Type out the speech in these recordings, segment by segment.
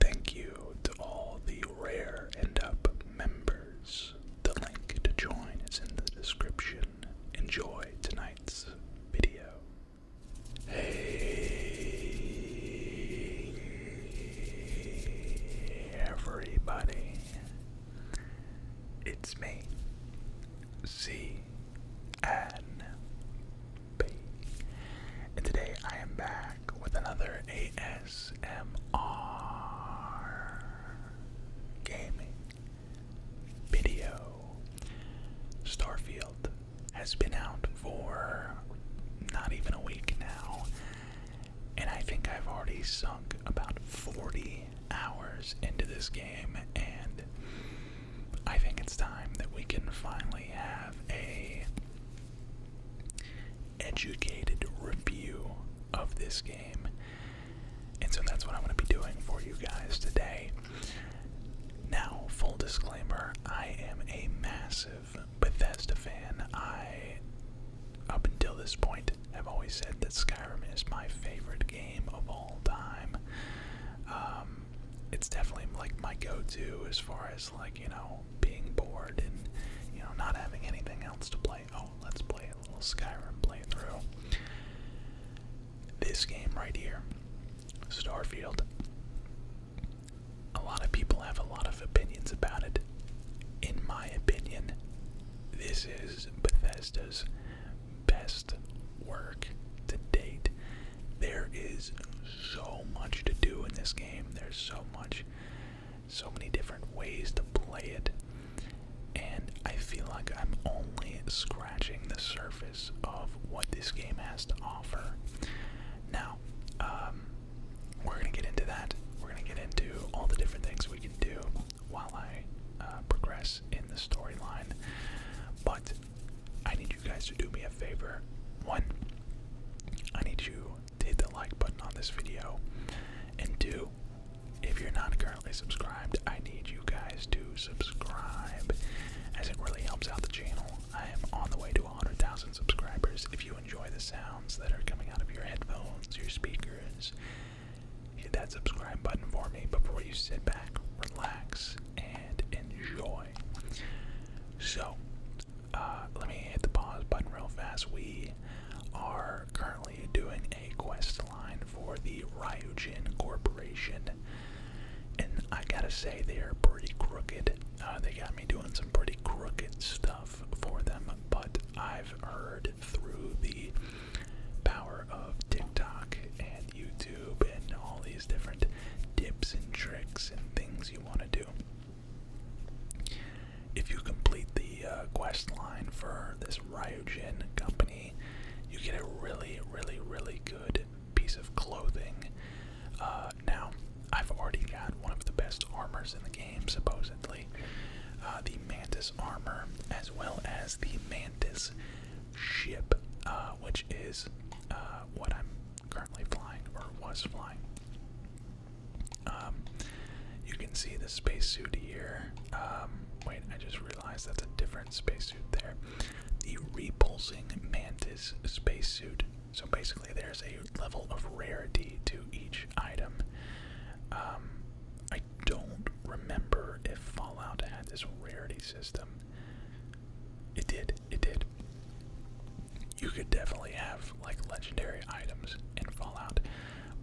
Thank you to all the Rare end Up members. The link to join is in the description. Enjoy tonight's video. Hey, everybody. It's me, C. N. And today I am back with another ASMR gaming video. Starfield has been out for not even a week now, and I think I've already sunk about 40 hours into this game, and I think it's time that we can finally have a educated review of this game. And so that's what I'm going to be doing for you guys today. Now, full disclaimer I am a massive Bethesda fan. I, up until this point, have always said that Skyrim is my favorite game of all time. Um, it's definitely like my go to as far as, like, you know, being bored and, you know, not having anything else to play. Oh, let's play a little Skyrim playthrough. This game right here, Starfield, a lot of people have a lot of opinions about it. In my opinion, this is Bethesda's best work to date. There is so much to do in this game. There's so much, so many different ways to play it. And I feel like I'm only scratching the surface of what this game has to offer. Now, um, we're going to get into that. We're going to get into all the different things we can do while I uh, progress in the storyline. But I need you guys to do me a favor. One, I need you hit the like button on this video. And two, if you're not currently subscribed, I need you guys to subscribe as it really helps out the channel. I am on the way to 100,000 subscribers. If you enjoy the sounds that are coming out of your headphones, your speakers, hit that subscribe button for me before you sit back, relax, and enjoy. So, uh, let me hit the pause button real fast. We are currently doing a quest line for the Ryujin Corporation, and I gotta say they are pretty crooked. Uh, they got me doing some pretty crooked stuff for them, but I've heard through the power of TikTok and YouTube and all these different tips and tricks and things you want to do if you complete the uh, quest line for this Ryujin company, you get a really, really, really good piece of clothing. Uh, now, I've already got one of the best armors in the game, supposedly. Uh, the Mantis armor, as well as the Mantis ship, uh, which is uh, what I'm currently flying or was flying. Um, you can see the spacesuit here. Um, wait, I just realized that's a different spacesuit there. The repulsing mantis spacesuit. So basically, there's a level of rarity to each item. Um, I don't remember if Fallout had this rarity system. It did, it did you could definitely have like legendary items in Fallout,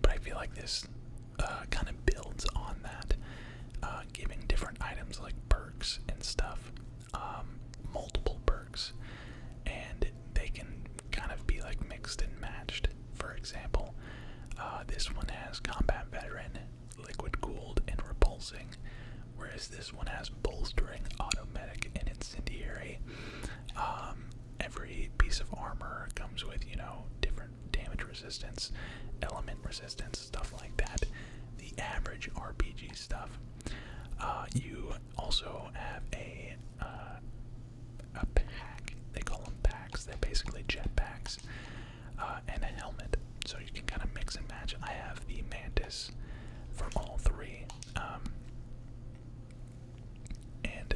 but I feel like this uh, kind of builds on that, uh, giving different items like perks and stuff, um, multiple perks, and they can kind of be like mixed and matched. For example, uh, this one has combat veteran, liquid cooled, and repulsing whereas this one has bolstering, automatic, and incendiary. Um, every piece of armor comes with, you know, different damage resistance, element resistance, stuff like that. The average RPG stuff. Uh, you also have a uh, a pack. They call them packs. They're basically jet packs, uh, and a helmet, so you can kind of mix and match. I have the mantis for all three, um, and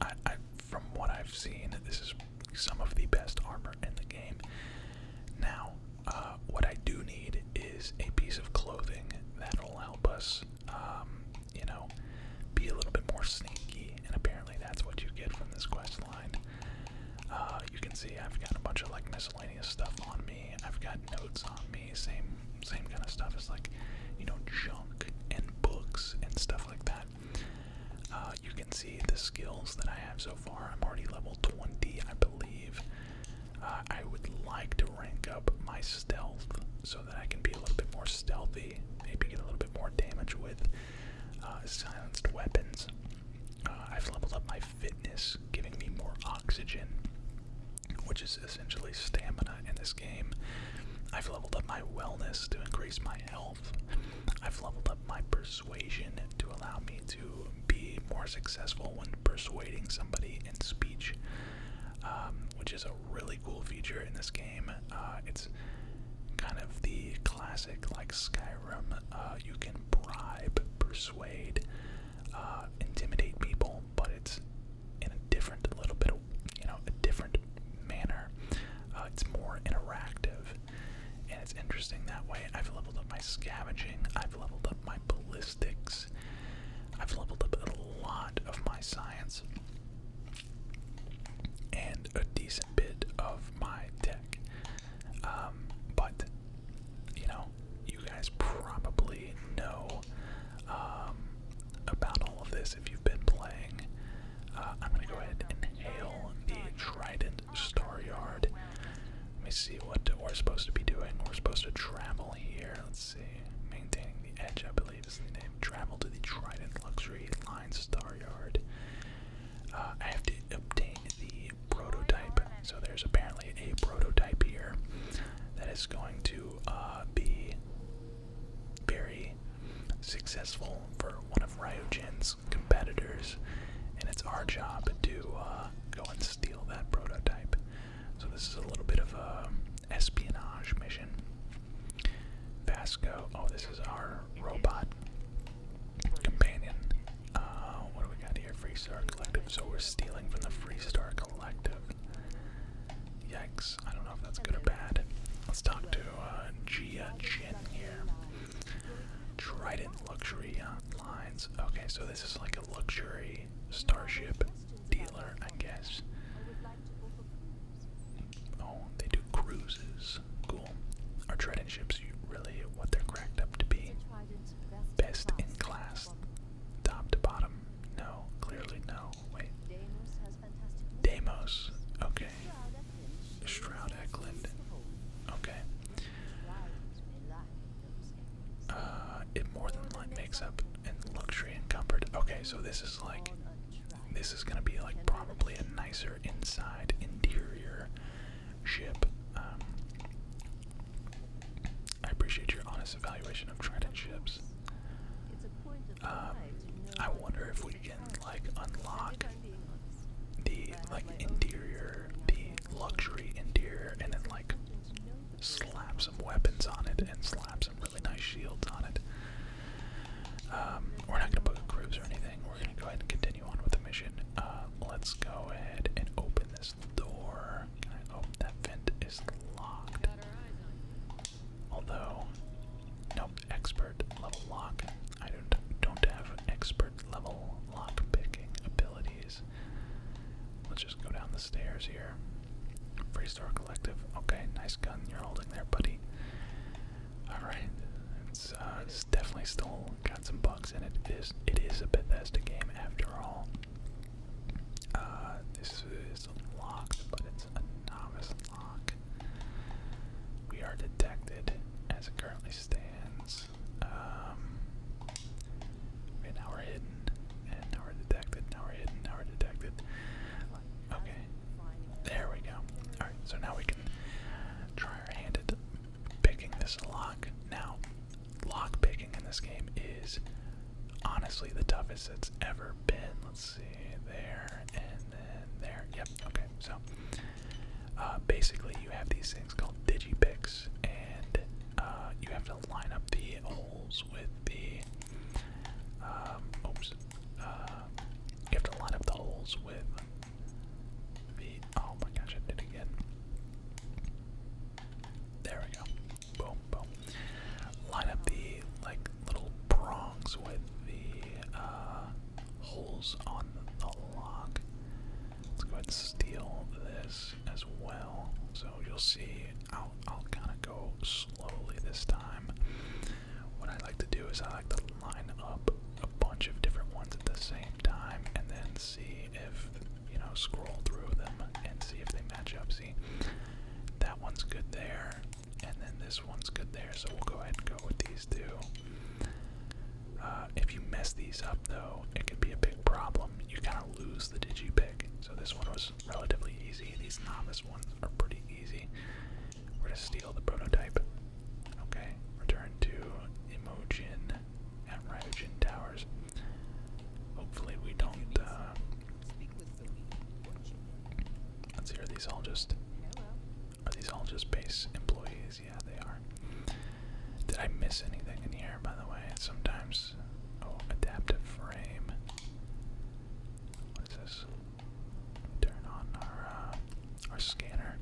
I, I, from what I've seen, this is some of the best armor in the game. Now, uh, what I do need is a piece of clothing that'll help us, um, you know, be a little bit more sneaky. And apparently, that's what you get from this quest line. Uh, you can see I've got a bunch of like missiles stuff on me. I've got notes on me, same same kind of stuff as like, you know, junk and books and stuff like that. Uh, you can see the skills that I have so far. I'm already level 20, I believe. Uh, I would like to rank up my stealth so that I can be a little bit more stealthy, maybe get a little bit more damage with uh, silenced weapons. I've leveled up my fitness, giving me more oxygen which is essentially stamina in this game. I've leveled up my wellness to increase my health. I've leveled up my persuasion to allow me to be more successful when persuading somebody in speech, um, which is a really cool feature in this game. Uh, it's kind of the classic, like Skyrim, uh, you can bribe, persuade, uh, intimidate people, but it's in a different, a little bit, of, you know, a different manner. Uh, it's more interactive, and it's interesting that way. I've leveled up my scavenging. I've leveled up my ballistics. I've leveled up a lot of my science and a decent bit of my tech. Um, but you know, you guys probably know um, about all of this if you've been playing. Uh, I'm gonna go ahead and hail the Trident Star Yard. Let me see what we're supposed to be doing. We're supposed to travel here. Let's see. Maintaining the edge, I believe, is the name. Travel to the Trident Luxury Line Star Yard. Uh, I have to obtain the prototype. So there's apparently a prototype here that is going to uh, be very successful for one of Ryogen's competitors, and it's our job to uh, go and steal that prototype. So this is a little bit of a espionage mission. Vasco, oh, this is our robot companion. Uh, what do we got here? Free Star Collective. So we're stealing from the Free Star Collective. Yikes. I don't know if that's good or bad. Let's talk to uh, Gia Jin here. Trident Luxury Lines. Okay, so this is like a luxury starship dealer, I guess. Oh, they do cruises. Cool. Are Trident ships really what they're cracked up to be? Best in class. Top to bottom? No, clearly no. Wait. Deimos. Okay. Stroud Eklund. Okay. Uh, it more than like makes up in luxury and comfort. Okay, so this is like, this is gonna be like probably a nicer inside interior ship. Um, I appreciate your honest evaluation of Trident ships. Um, I wonder if we can like unlock the like interior, the luxury interior, and then like slap some weapons on it and slap some really nice shields on it. Um, we're not gonna book a cruise or anything. We're gonna go ahead and continue on with the mission. Uh, let's go ahead and open this door there. Alright, oh, that vent is locked. Although, nope, expert level lock. I don't don't have expert level lock picking abilities. Let's just go down the stairs here. Free Star Collective. Okay, nice gun you're holding there, buddy. Alright. It's uh it's definitely still got some bugs in it. It is it is a Bethesda game after all. Uh, this is locked, but it's a novice lock. We are detected as it currently stands. Um, okay, now we're hidden, and now we're detected, now we're hidden, now we're detected. Okay, there we go. Alright, so now we can try our hand at picking this lock. Now, lock picking in this game is honestly the toughest it's ever been. Let's see, there and then there. Yep, okay, so uh, basically you have these things called digipicks, and uh, you have to line up the holes with the. Um, oops. Uh, you have to line up the holes with the. Oh my gosh, I did again. There we go. Boom, boom. Line up the like little prongs with the uh, holes on the lock. Let's go ahead and steal this as well. So you'll see, I'll, I'll kind of go slowly this time. What I like to do is I like to line up a bunch of different ones at the same time and then see if you know, scroll through them and see if they match up. See, that one's good there, and then this one's good there, so we'll go ahead and go with these two. Uh, if you mess these up, though, it could be a big problem. You kind of lose the digi pick. So this one was relatively easy. These novice ones are pretty easy. We're gonna steal the prototype. Okay, return to Emojin and Ryogen Towers. Hopefully, we don't. Uh, let's see, are these all just. Are these all just base employees? Yeah, they are. Did I miss anything in here, by the way? Sometimes. Oh, adaptive frame. What is this? Turn on our uh, our scanner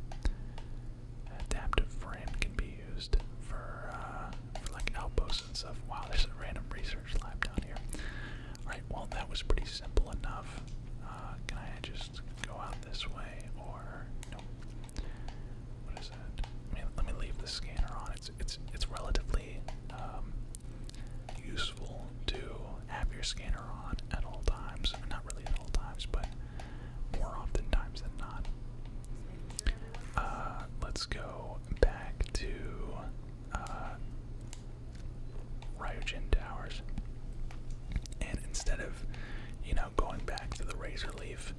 adaptive frame can be used for, uh, for like outposts and stuff. Wow, there's a random research lab down here. Alright, well that was pretty simple enough. Uh, can I just go out this way or no? What is that? I mean, let me leave the scanner on. It's it's it's relatively um, useful to have your scanner on at all times. Not really at all times, but more often than not. Uh, let's go back to uh, Towers. And instead of, you know, going back to the Razor Leaf,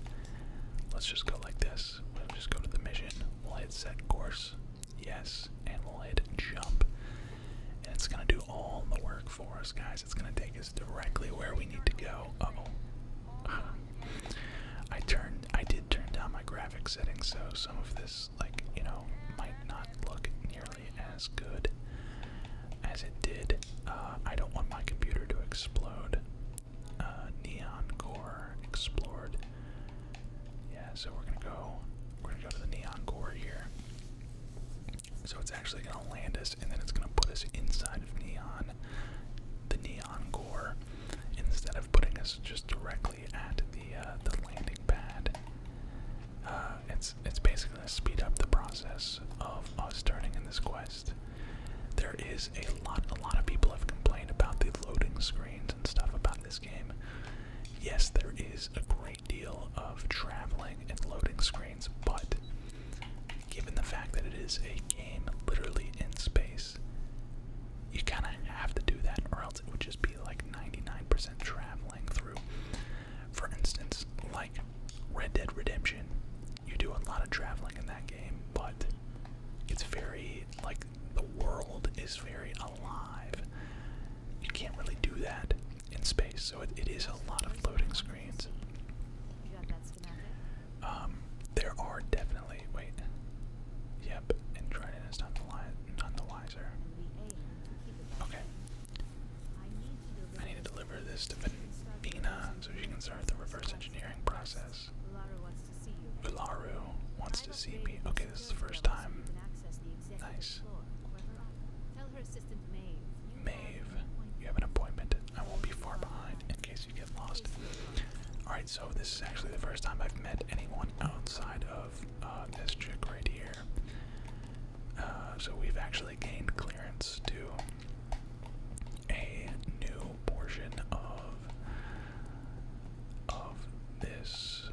let's just go like this. We'll just go to the mission. We'll hit set course. Yes. And we'll hit jump. And it's going to do all the work for us, guys. It's going to take us directly where we need to go. oh. I turned I did turn down my graphic settings so some of this like you know might not look nearly as good as it did. Uh, I don't want my computer to explode. Uh, neon core explored. Yeah, so we're gonna go we're gonna go to the neon core here. So it's actually gonna land us and then it's gonna put us inside of neon the neon gore. instead of putting us just directly at the uh, the landing pad. Uh, it's it's basically gonna speed up the process of us turning in this quest. There is a lot a lot of people have complained about the loading screens and stuff about this game. Yes, there is a great deal of traveling and loading screens, but given the fact that it is a game literally in space, you kind of have to do that, or else it would just be like 99% traveling through. For instance, like Red Dead Redemption, you do a lot of traveling in that game, but it's very, like, the world is very alive. You can't really do that in space, so it is a lot of floating screens. Um, there are definitely wait. Yep, and Dryden is not the li none the wiser. Okay. I need to deliver this to Vina so she can start the reverse engineering process. Ularu wants to see me. Okay, this is the first time. Nice. Maeve, you have an appointment. I won't be far behind in case Alright, so this is actually the first time I've met anyone outside of uh, this chick right here. Uh, so we've actually gained clearance to a new portion of of this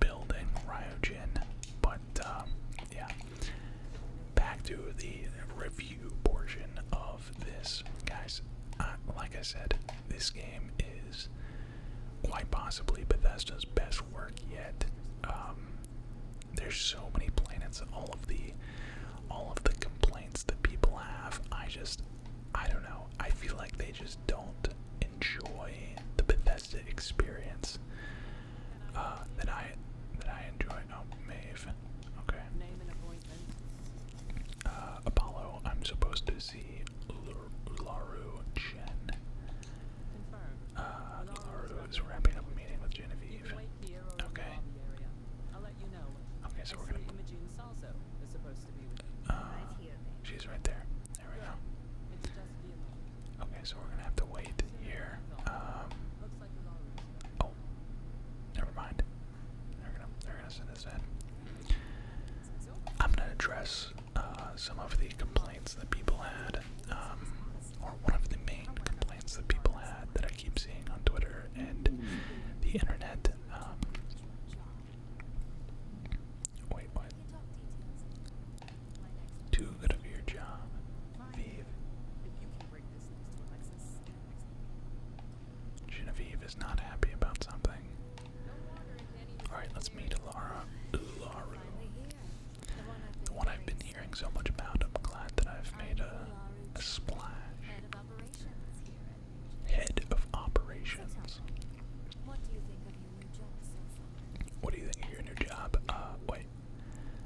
building, Ryogen. But um, yeah, back to the review portion of this. Guys, like I said, this game is quite possibly Bethesda's best work yet. Um, there's so many planets, all of the all of the complaints that people have. I just I don't know. I feel like they just don't enjoy the Bethesda experience uh, that I that I enjoy. Oh, Maeve. Okay. Uh, Apollo, I'm supposed to see Ularu Chen. Uh, Ularu is wrapping up a meeting with Genevieve. Okay. Okay, so we're gonna. Uh, she's right there. There we go. Okay, so we're gonna have to wait here. Um, Oh, never mind. They're gonna send us in. I'm gonna address uh, some of the complaints that people had, um, or one of the main complaints that people had that I keep seeing on Twitter and the internet. Um, wait, what? Too good of your job, Vive. Genevieve is not happy about something. All right, let's meet Laura. Laura, the one I've been hearing so much about. I'm glad that I've made a, splash. Head of operations. What do you think of your new job? Uh, wait.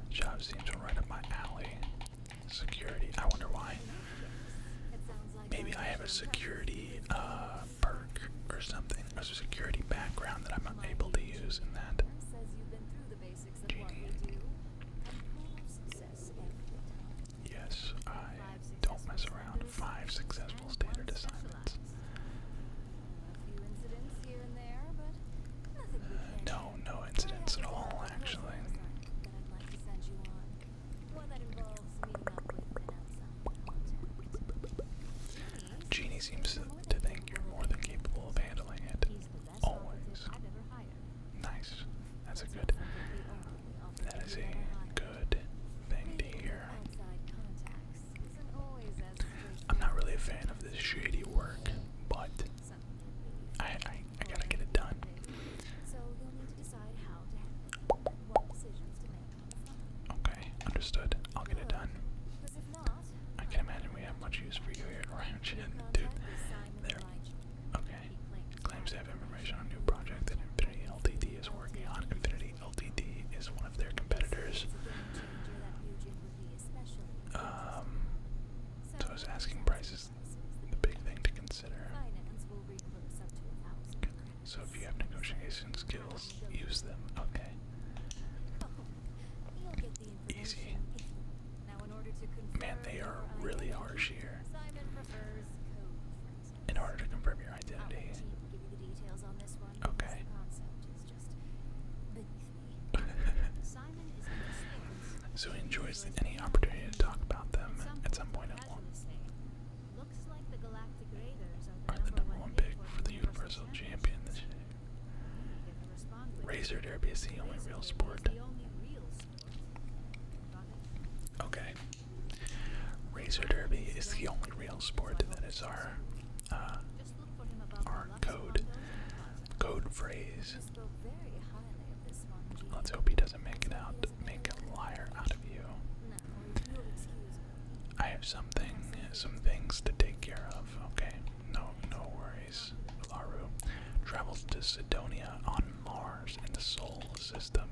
Job seems right up my alley. Security. I wonder why. Maybe I have a security uh, perk or something, a security background that I'm not to use in that. Yes, I don't mess around. Five successful standard assignments. Uh, no, no, incidents at all, actually. Jeannie seems to think you're more than capable of handling it. Always. Nice. That's a good. That is a good thing to hear. I'm not really a fan of this shady work, but I, I, I gotta get it done. Okay, understood. I'll get it um, done. I can imagine we have much use for you here at dude. There. Okay. Claims to have information on new project that Infinity LTD is working on. Infinity LTD is one of their competitors. Um, so asking prices the big thing to consider. So if you have negotiation skills, use them. Okay. Easy. Man, they are really harsh here. In order to confirm your identity. Okay. so he enjoys any opportunity to talk about them at some point at one. Are the number one pick for the Universal Champion Razor Derby is the only real sport. Okay. Razor Derby is the only real sport that is our uh, our code code phrase Let's hope he doesn't make it out, make a liar out of you. I have something, some things to take care of. Okay, no, no worries. Laru travels to Sidonia on Mars in the Sol system.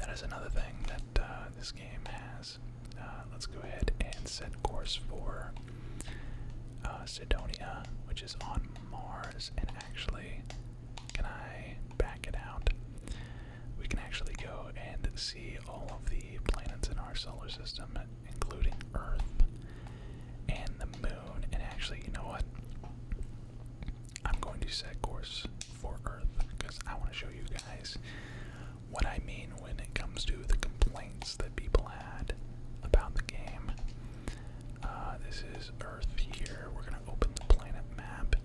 That is another thing that uh, this game has. Uh, let's go ahead and set course for uh, Sidonia, which is on Mars and actually, can I back it out? We can actually go and see all of the planets in our solar system, including Earth and the moon. And actually, you know what? I'm going to set course for Earth because I want to show you guys what I mean when it comes to the complaints that people had about the game. Uh, this is Earth here. We're going to open the planet map,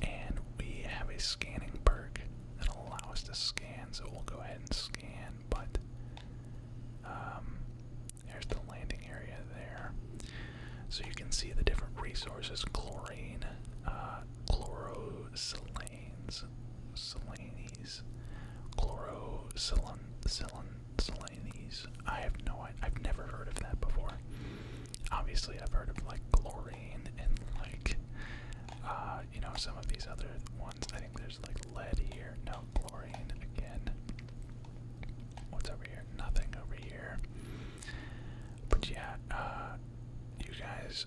and we have a scanning perk that allows us to scan, so we'll go ahead and scan. But um, there's the landing area there. So you can see the different resources chlorine, uh, chlorosilanes, selenes, chlorosilin, silin, silin, Mylanese. I have no idea. I've never heard of that before. Obviously, I've heard of like chlorine and like, uh, you know, some of these other ones. I think there's like lead here. No, chlorine again. What's over here? Nothing over here. But yeah, uh, you guys,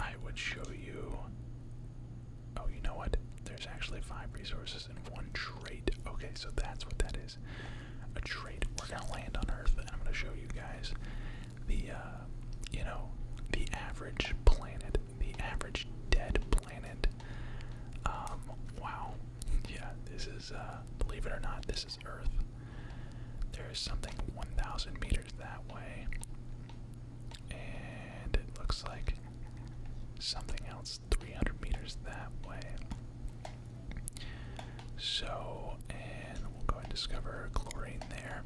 I would show you. Oh, you know what? There's actually five resources Okay, so that's what that is. A trait. We're gonna land on Earth, and I'm gonna show you guys the, uh, you know, the average planet, the average dead planet. Um, wow. Yeah, this is, uh, believe it or not, this is Earth. There is something 1,000 meters that way. And it looks like something else 300 meters that way. So, and we'll go and discover chlorine there.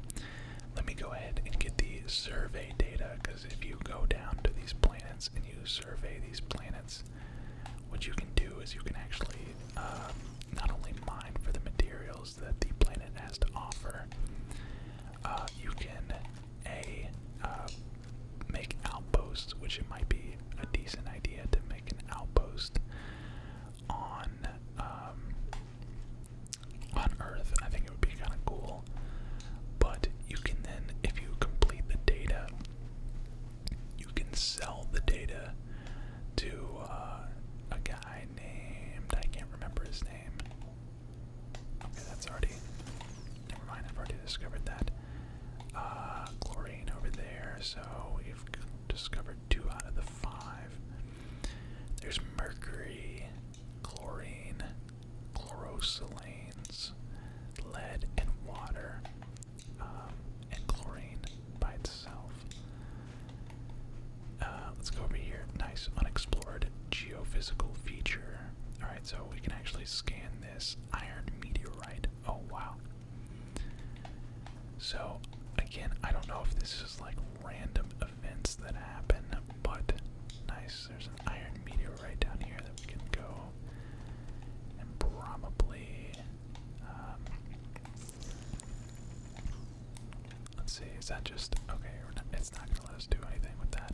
Let me go ahead and get the survey data, because if you go down to these planets and you survey these planets, what you can do is you can actually um, not only mine for the materials that the planet has to offer, uh, you can a uh, make outposts, which it might be a decent idea to make an outpost on um, on Earth. I think it would be kind of cool. But you can then, if you complete the data, you can sell the data to uh, a guy named I can't remember his name. that's already. Never mind, I've already discovered that. Uh, chlorine over there, so we've discovered two out of the five. There's mercury, chlorine, chlorosalanes, lead, and water, um, and chlorine by itself. Uh, let's go over here. Nice unexplored geophysical feature. Alright, so we can actually scan this iron meteorite. Oh wow. So again, I don't know if this is like random events that happen, but nice. There's an iron meteorite down here that we can go and probably um, let's see, is that just okay, it's not gonna let us do anything with that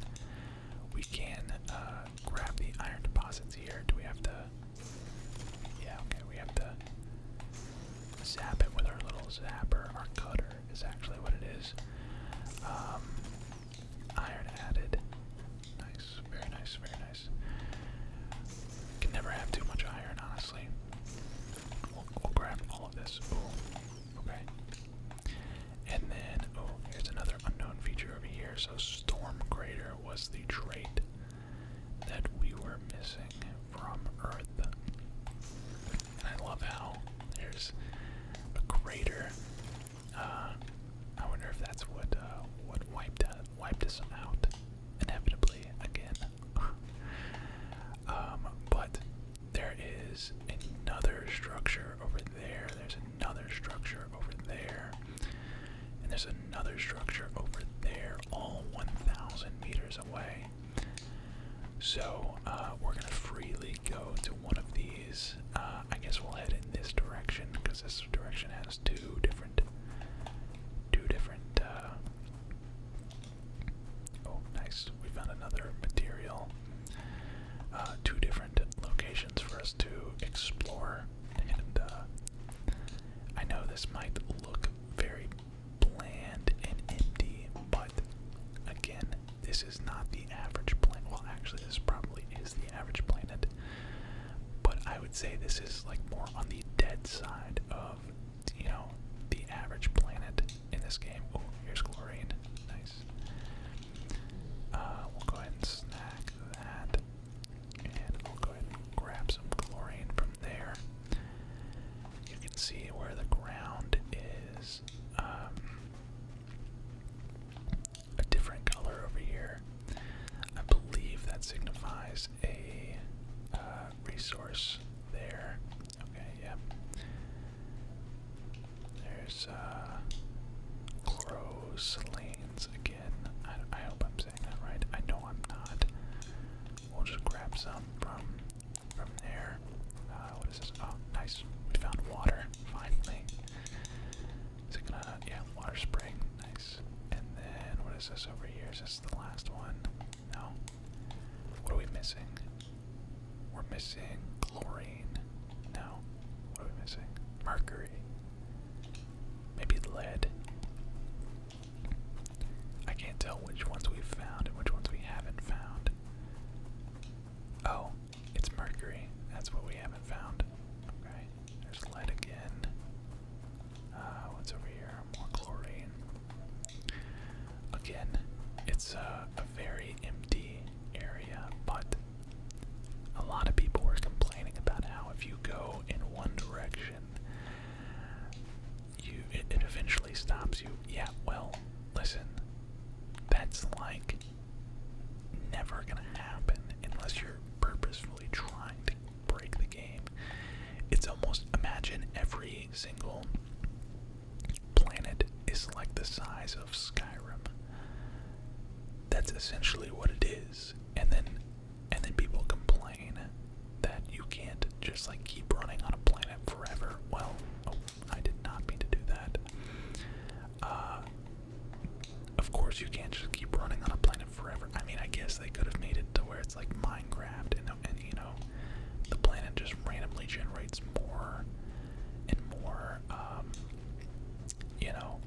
we can uh, grab the iron deposits here. Do we have to? Yeah, okay, we have to zap it with our little zapper. Our cutter is actually what it is. Um, iron added. Nice, very nice, very nice. Can never have too much iron, honestly. We'll, grab all of this. okay. And then, oh, there's another unknown feature over here. So, Storm Crater was the trait that we were missing from Earth. And I love how there's a crater. Uh, I wonder if that's what uh, what wiped wiped us out inevitably again. Um, but there is another structure over there. There's another structure over there. And there's another structure over there, all 1,000 meters away. So uh, we're going to freely go to one of these. Uh, I guess we'll head in this direction because this direction has two different, two different. Uh, oh, nice! We found another material. Uh, two different locations for us to explore. And uh, I know this might look very bland and empty, but again, this is not the average planet. Well, actually, this probably is the average planet, but I would say this is like more on the dead side of, you know, the average planet in this game. Oh, here's chlorine. Nice. Uh, we'll go ahead and snack that. And we'll go ahead and grab some chlorine from there. You can see where the ground is um, a different color over here. I believe that signifies a uh, resource there. Okay, yeah. There's uh, Chlorosalanes again. I, hope I'm saying that right. I know I'm not. We'll just grab some from from there. Uh, what is this? Oh, nice. We found water finally. Is it gonna? Yeah, water spring. Nice. And then what is this over here? Is this the last one? No. What are we missing? We're missing chlorine. No. What are we missing? Mercury. Maybe lead. I can't tell which ones we've found and which ones we haven't found. Oh, it's mercury. That's what we haven't found. Okay, there's lead again. Uh, what's over here? More chlorine. Again, it's a very empty area, but a lot of people were complaining about how if you go in one direction, you it, it eventually stops you. Yeah, well, listen, that's like never gonna happen unless you're purposefully trying to break the game. It's almost imagine every single planet is like the size of Skyrim. That's essentially what it is. And then and then people complain that you can't just like keep running on a planet forever. Well, oh, I did not mean to do that. Uh, of course you can't just keep running on a planet forever. I mean, I guess they could have made it to where it's like Minecraft and and you know, the planet just randomly generates more and more um, you know,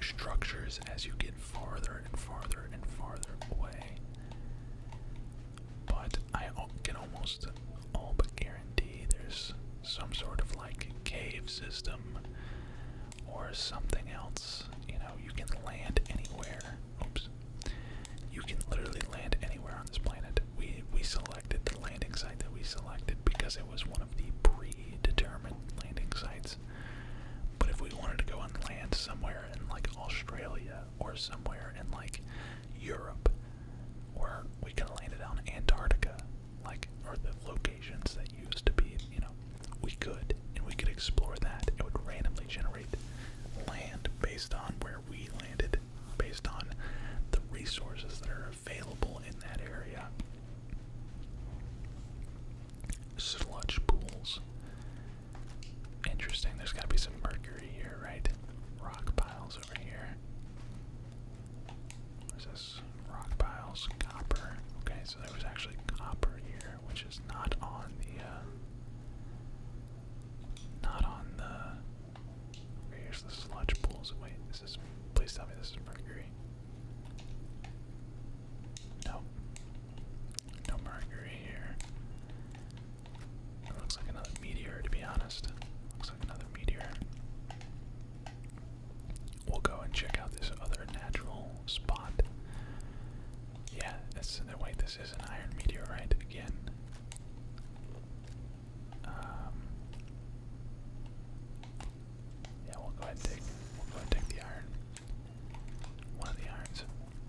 structures as you get farther and farther and farther away. But I can almost all but guarantee there's some sort of like cave system or something else. You know, you can land anywhere. Oops. You can literally land anywhere on this planet we we selected the landing site that we selected because it was one of the predetermined landing sites. But if we wanted to go and land somewhere in like Australia or somewhere in like Europe, or we could land it on Antarctica, like or the locations that used to be, you know, we could and we could explore that. It would randomly generate land based on where we landed, based on the resources that are available in that area. Sludge pools. Interesting, there's gotta be some mercury here, right? Rock piles over here. What is this? Rock piles, copper. Okay, so there was actually copper here, which is not on the, uh, not on the Here's the sludge pools. Wait, this is. Please tell me this is mercury. No. No mercury here. looks like another meteor, to be honest. Looks like another meteor. We'll go and check out this other natural spot. Yeah, that's. No, wait, this is an iron meteorite again. Um, yeah, we'll go ahead and take the iron. One of the irons.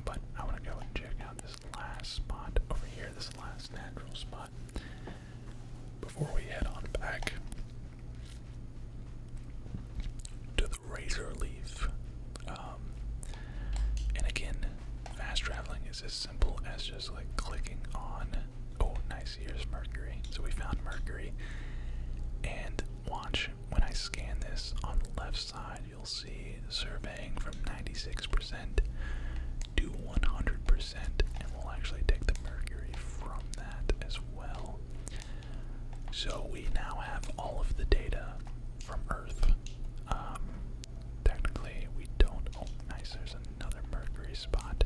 But I wanna go and check out this last spot over here, this last natural spot. Before we head on back to the razor leaf. Um, and again, fast traveling is as simple as just like clicking on Oh, nice. Here's Mercury. So we found Mercury. And watch when I scan this on the left side, you'll see surveying from 96% to 100%. And we'll actually take the Mercury from that as well. So we now have all of the data from Earth. Um, technically, we don't. Oh, nice. There's another Mercury spot.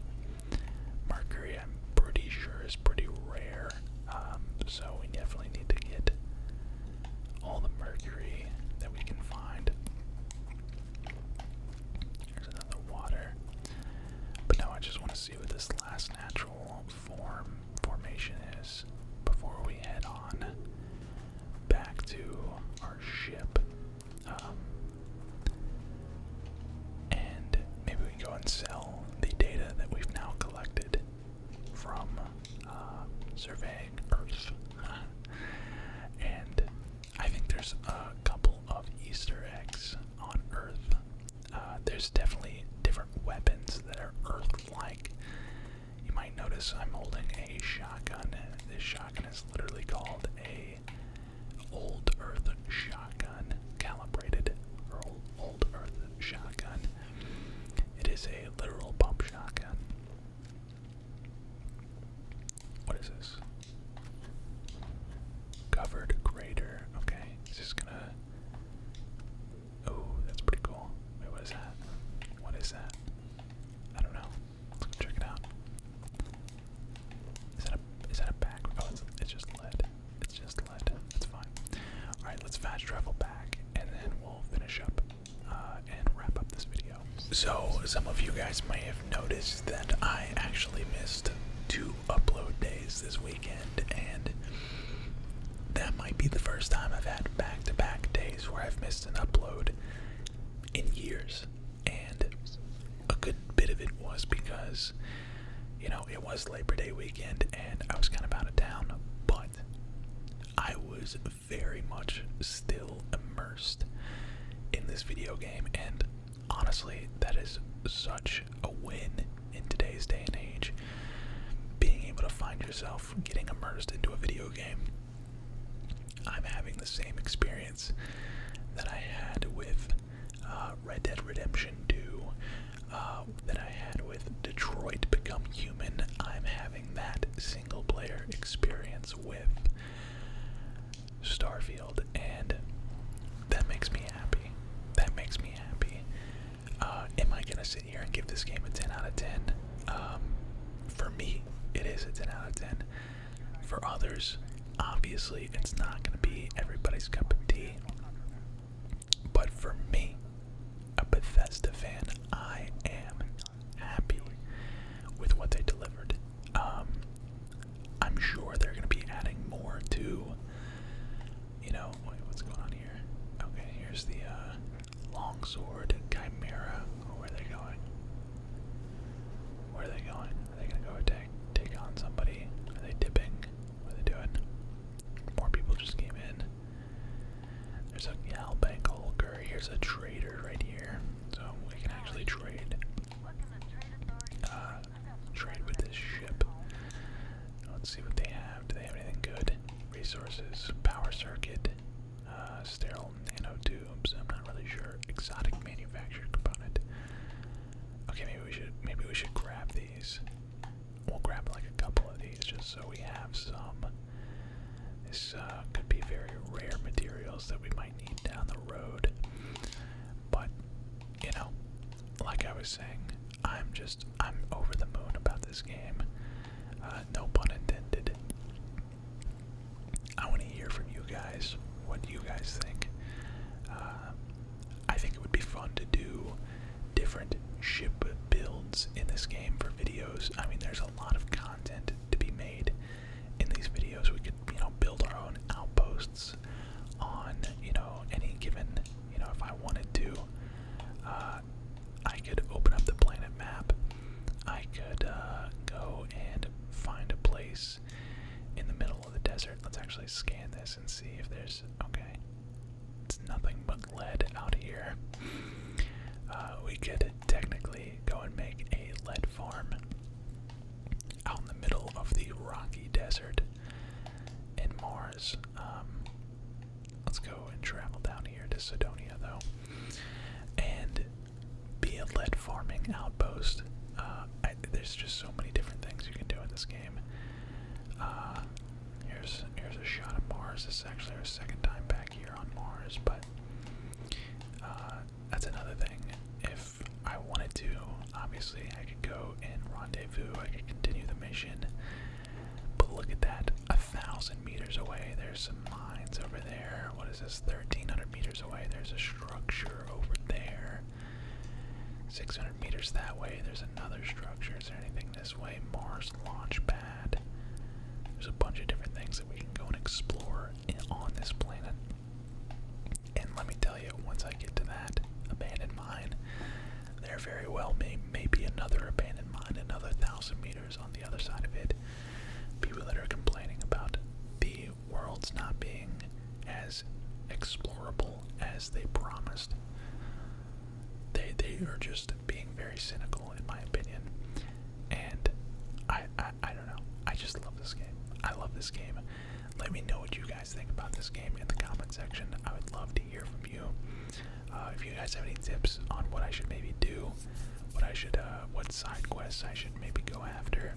Mercury, I'm pretty sure, is pretty rare, um, so we definitely need to get all the mercury that we can find. There's another water. But now I just want to see what this last natural form formation is before we head on back to our ship um, and maybe we can go and sell the data that we've now collected from uh, surveying Earth. and I think there's a couple of Easter eggs on Earth. Uh, there's definitely different weapons that are Earth-like. You might notice I'm holding a shotgun. This shotgun is literally called a old earth shotgun, calibrated old earth shotgun. It is a literal pump shotgun. What is this? Covered crater. Okay, is this gonna? Oh, that's pretty cool. Wait, what is that? What is that? I don't know. Check it out. Is that a is that a back? Oh, it's just lead. It's just lead. It's fine. All right, let's fast travel back, and then we'll finish up uh, and wrap up this video. So some of you guys may have noticed that I actually missed two upload days this weekend, and that might be the first time I've had back to -back days where I've missed an upload in years, and a good bit of it was because you know it was Labor Day weekend and I was kind of out of town, but I was very much still immersed in this video game, and honestly, that is such a win in today's day and age. Being able to find yourself getting immersed into a video game. I'm having the same experience that I had with uh, Red Dead Redemption 2, uh, that I had with Detroit Become Human. I'm having that single player experience with Starfield, and that makes me happy. That makes me happy. Uh, am I gonna sit here and give this game a 10 out of 10? Um, for me, it is a 10 out of 10. For others, obviously, it's not going to be everybody's cup of tea. But for me, a Bethesda fan, I am happy with what they delivered. Um, I'm sure they're going to be adding more to, you know, wait, what's going on here? Okay, here's the uh, longsword chimera. Oh, where are they going? Where are they going? Are they gonna go attack, take on somebody? Are they dipping? What are they doing? More people just came in. There's a Bank Holger. Here's a trader right here. So we can actually trade. Uh, trade with this ship. Let's see what they have. Do they have anything good? Resources, power circuit, uh, sterile nano tube. I'm not really sure. Exotic manufactured component. Okay, maybe we should maybe we should grab these. We'll grab like a couple of these just so we have some. This uh, could be very rare materials that we might need down the road. But you know, like I was saying, I'm just I'm over the moon about this game. Uh, no pun intended. I want to hear from you guys. What do you guys think? Uh, I think it would be fun to do different ship builds in this game for videos. I mean, there's a lot of content to be made in these videos. We could, you know, build our own outposts on, you know, any given, you know, if I wanted to. Uh, I could open up the planet map. I could uh, go and find a place in the middle of the desert. Let's actually scan this and see if there's. Okay. It's nothing but lead out here. Uh, we could technically go and make a lead farm out in the middle of the rocky desert in Mars. Um, let's go and travel down here to Sidonia, though. And be a lead farming outpost. Uh, there's just so many different things you can do in this game. Uh, here's here's a shot of Mars. This is actually our second time back here on Mars, but uh, that's another thing. If I wanted to, obviously I could go and rendezvous. I could continue the mission. But look at that, a thousand meters away. There's some mines over there. What is this? Thirteen hundred meters away. There's a structure over there. 600 meters that way, there's another structure. Is there anything this way? Mars launch pad. There's a bunch of different things that we can go and explore on this planet. And let me tell you, once I get to that abandoned mine, there very well may be another abandoned mine, another thousand meters on the other side of it. People that are complaining about the world's not being as explorable as they promised. They they are just being very cynical in my opinion. And I, I I don't know. I just love this game. I love this game. Let me know what you guys think about this game in the comment section. I would love to hear from you. Uh, if you guys have any tips on what I should maybe do, what I should, uh, what side quests I should maybe go after,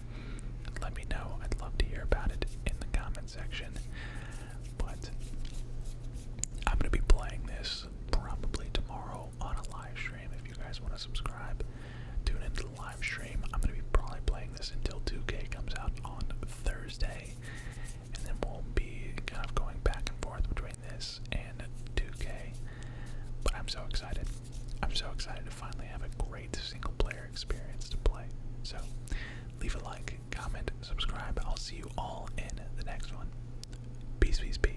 let me know. I'd love to hear about it in the comment section. But I'm going to be playing this probably tomorrow on a live stream. If you guys want to subscribe, tune into the live stream. I'm going to be probably playing this until 2K comes out on Thursday. And then we'll be kind of going back and forth between this and 2K. But I'm so excited. I'm so excited finally have a great single player experience to play. So leave a like, comment, subscribe. I'll see you all in the next one. Peace, peace, peace.